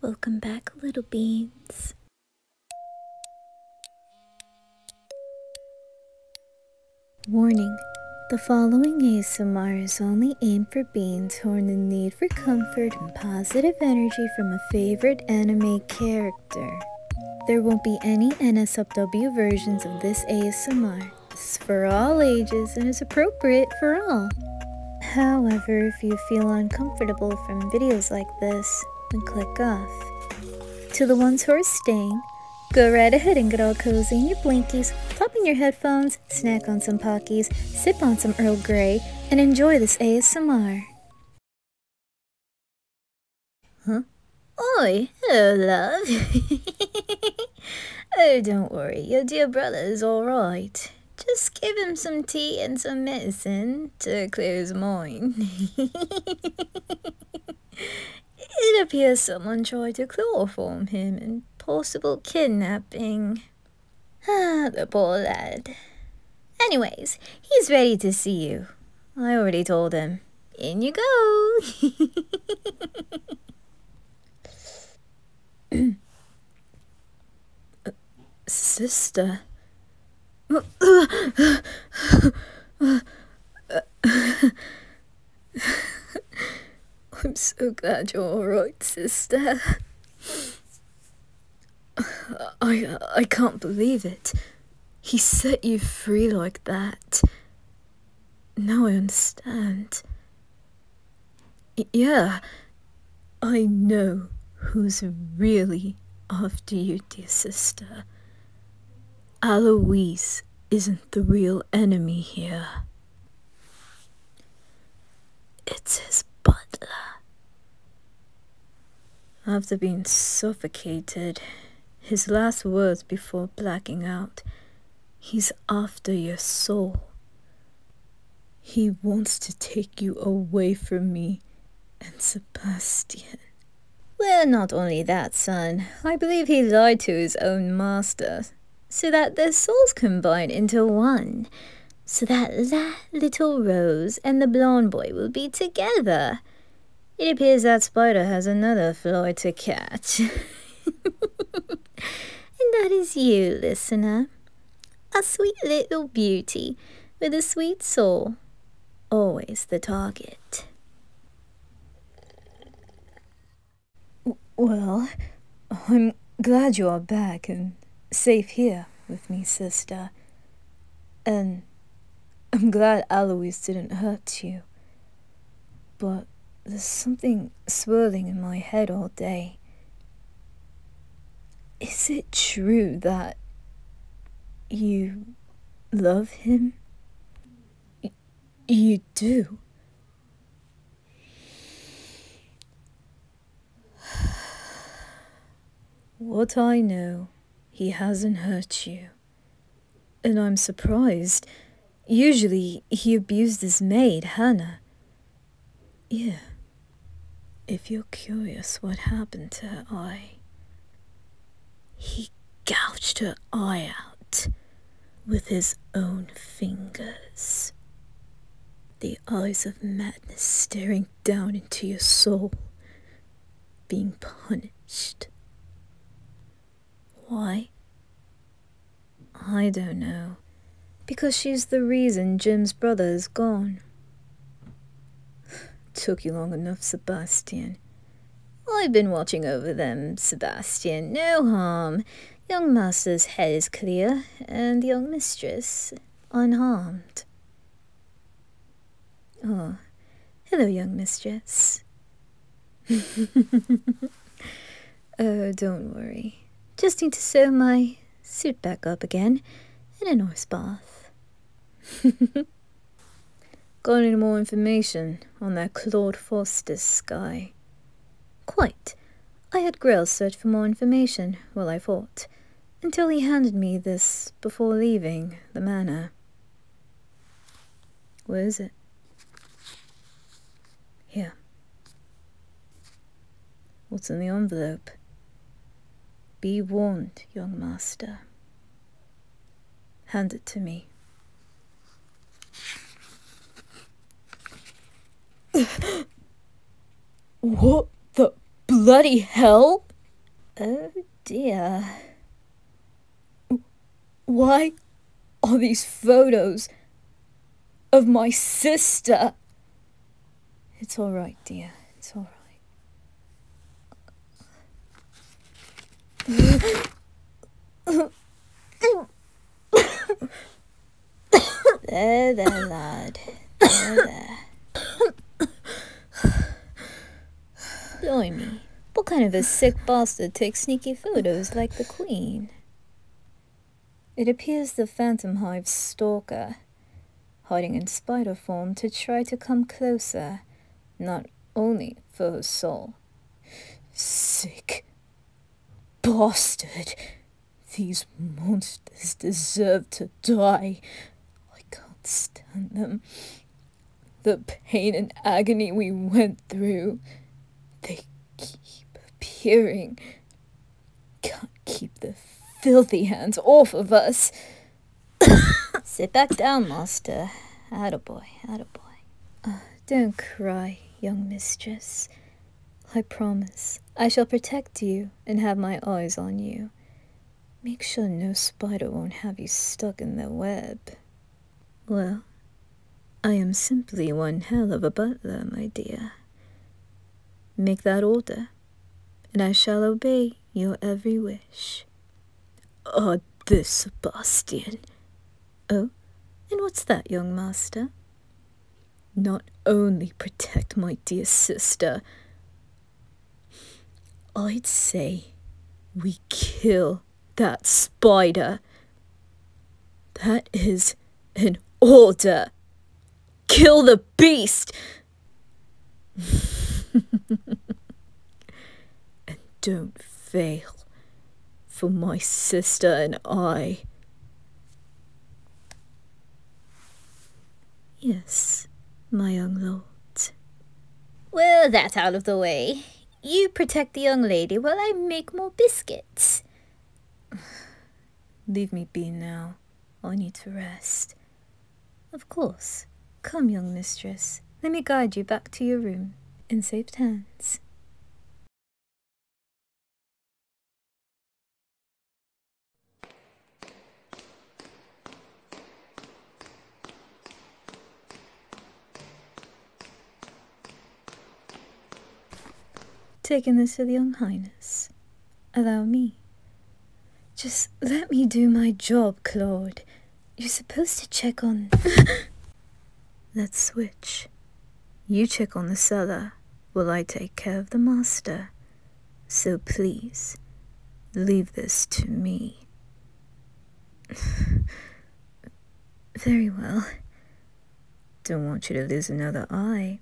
Welcome back, little beans. Warning The following ASMR is only aimed for beans who are in need for comfort and positive energy from a favorite anime character. There won't be any NSFW versions of this ASMR. It's for all ages and is appropriate for all. However, if you feel uncomfortable from videos like this, then click off. To the ones who are staying, go right ahead and get all cozy in your blankies, pop in your headphones, snack on some Pockies, sip on some Earl Grey, and enjoy this ASMR. Huh? Oi, love. oh, don't worry, your dear brother is all right. Just give him some tea and some medicine to clear his mind. it appears someone tried to chloroform him in possible kidnapping. Ah, the poor lad. Anyways, he's ready to see you. I already told him. In you go. Sister. I'm so glad you're alright, sister. I, I can't believe it. He set you free like that. Now I understand. Yeah, I know who's really after you, dear sister. Aloise isn't the real enemy here. It's his butler. After being suffocated, his last words before blacking out, he's after your soul. He wants to take you away from me and Sebastian. Well, not only that, son. I believe he lied to his own master, so that their souls combine into one, so that La Little Rose and the blonde boy will be together. It appears that spider has another fly to catch. and that is you, listener. A sweet little beauty with a sweet soul, always the target. Well, I'm glad you are back and safe here with me, sister. And I'm glad Alois didn't hurt you. But there's something swirling in my head all day. Is it true that you love him? you do. What I know, he hasn't hurt you. And I'm surprised. Usually, he abused his maid, Hannah. Yeah. If you're curious what happened to her eye, he gouged her eye out with his own fingers. The eyes of madness staring down into your soul, being punished. Why? I don't know. Because she's the reason Jim's brother is gone. Took you long enough, Sebastian. I've been watching over them, Sebastian. No harm. Young master's head is clear, and young mistress unharmed. Oh, hello, young mistress. Oh, don't worry. Just need to sew my suit back up again in a horse bath. Got any more information on that Claude Foster's guy? Quite. I had Grell search for more information while I fought, until he handed me this before leaving the manor. Where is it? Here. What's in the envelope? Be warned, young master. Hand it to me. what the bloody hell? Oh dear. Why are these photos of my sister. It's all right, dear. It's all right. there, there, lad. There, there. Blimey, what kind of a sick bastard takes sneaky photos like the Queen? It appears the Phantom Hive's stalker, hiding in spider form to try to come closer, not only for her soul. Sick bastard! These monsters deserve to die. I can't stand them. The pain and agony we went through. They keep appearing, can't keep the filthy hands off of us. Sit back down, master. Attaboy, attaboy. Uh, don't cry, young mistress. I promise I shall protect you and have my eyes on you. Make sure no spider won't have you stuck in the web. Well, I am simply one hell of a butler, my dear. Make that order, and I shall obey your every wish. Ah, oh, this Sebastian! Oh, and what's that, young master? Not only protect my dear sister, I'd say we kill that spider. That is an order. Kill the beast! and don't fail for my sister and I. Yes, my young lord. Well, that out of the way. You protect the young lady while I make more biscuits. Leave me be now. I need to rest. Of course. Come, young mistress, let me guide you back to your room in safe hands. Taking this to the young highness. Allow me. Just let me do my job, Claude. You're supposed to check on. Let's switch. You check on the cellar, while I take care of the master. So please, leave this to me. Very well. Don't want you to lose another eye.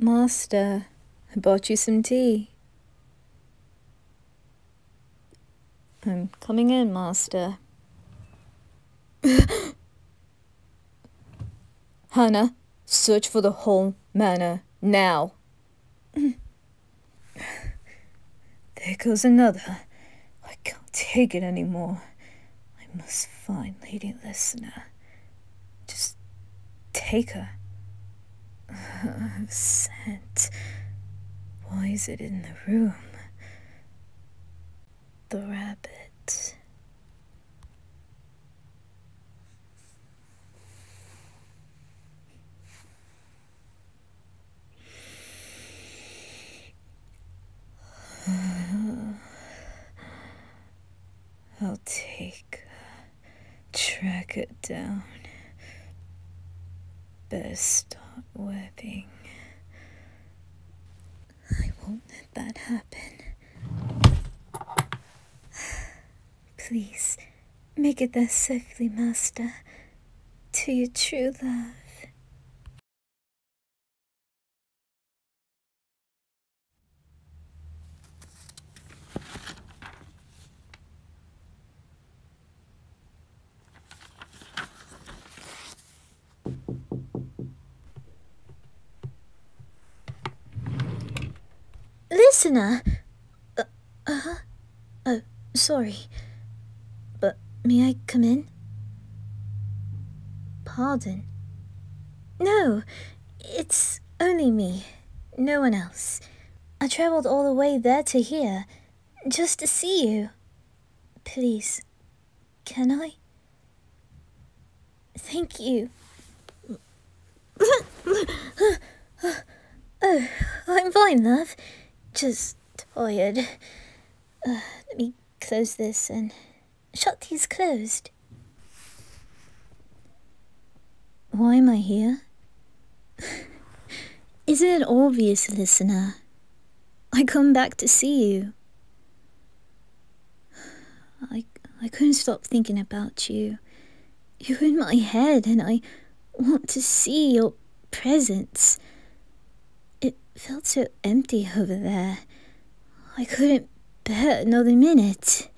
Master, I bought you some tea. I'm coming in, Master. Hannah, search for the whole manor now. there goes another. I can't take it anymore. I must find Lady Listener. Just take her. Scent. Why is it in the room? The rabbit. I'll take, track it down. Better start webbing. I won't let that happen. Please, Make it thus safely, Master, to your true love. Listener, uh, uh huh? Oh, sorry. But may I come in? Pardon? No, it's only me, no one else. I travelled all the way there to here, just to see you. Please, can I? Thank you oh, I'm fine, love. Just tired. Uh, let me close this and shut these closed. Why am I here? Isn't it obvious, listener? I come back to see you. I, I couldn't stop thinking about you you're in my head, and I want to see your presence. It felt so empty over there. I couldn't bear another minute.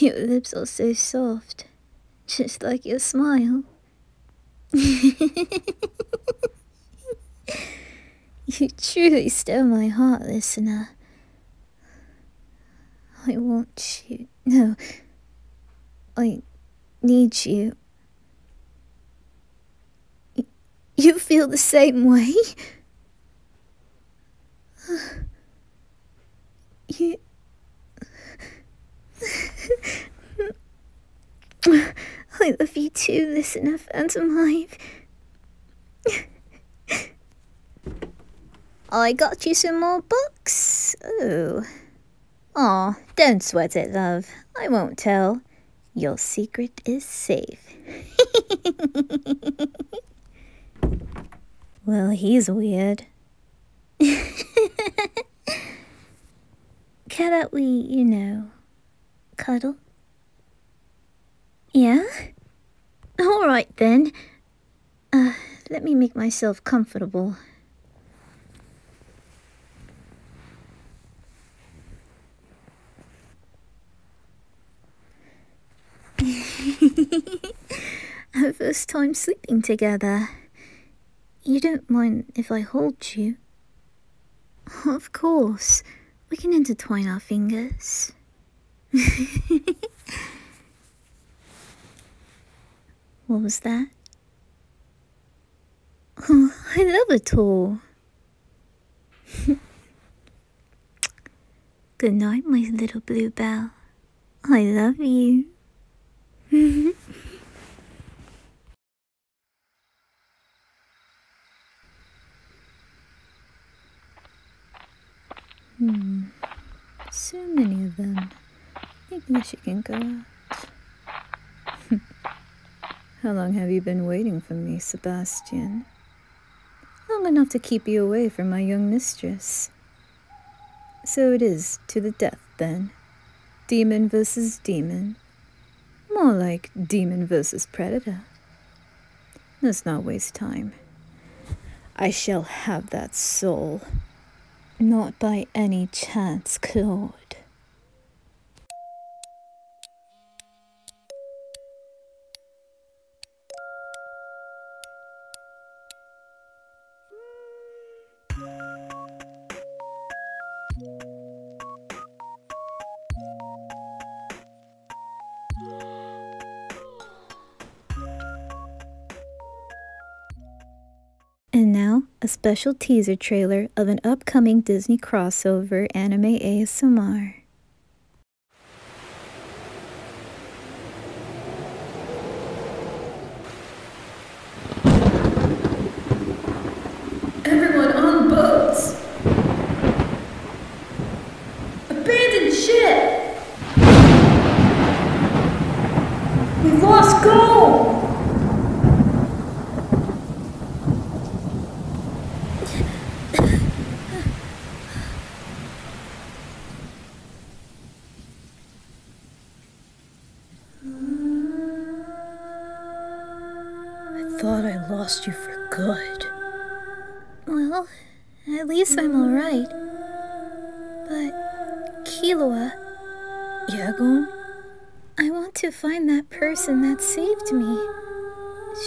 your lips are so soft, just like your smile. you truly stole my heart, listener. I want you. No. I need you. you feel the same way? you. I love you too, listener Phantom Hive. I got you some more books. Oh. Aw, don't sweat it, love. I won't tell. Your secret is safe. well, he's weird. How about we, you know, cuddle? Yeah? All right, then. Uh, let me make myself comfortable. Our first time sleeping together. You don't mind if I hold you? Of course, we can intertwine our fingers. what was that? Oh, I love it all. Good night, my little bluebell. I love you. Hmm. So many of them. Maybe she can go out. How long have you been waiting for me, Sebastian? Long enough to keep you away from my young mistress. So it is to the death, then. Demon versus demon. More like Demon versus Predator. Let's not waste time. I shall have that soul. Not by any chance, Claude. And now, a special teaser trailer of an upcoming Disney crossover anime ASMR. Everyone on boats! Abandoned ship! we lost gold. I thought I lost you for good. Well, at least I'm alright. But, Kilua... Yagun, I want to find that person that saved me.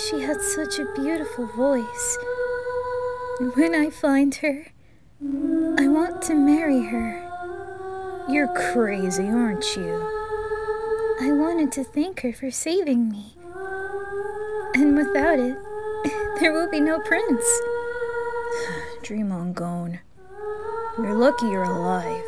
She had such a beautiful voice. And When I find her, I want to marry her. You're crazy, aren't you? I wanted to thank her for saving me. And without it, there will be no prince. Dream on gone. You're lucky you're alive.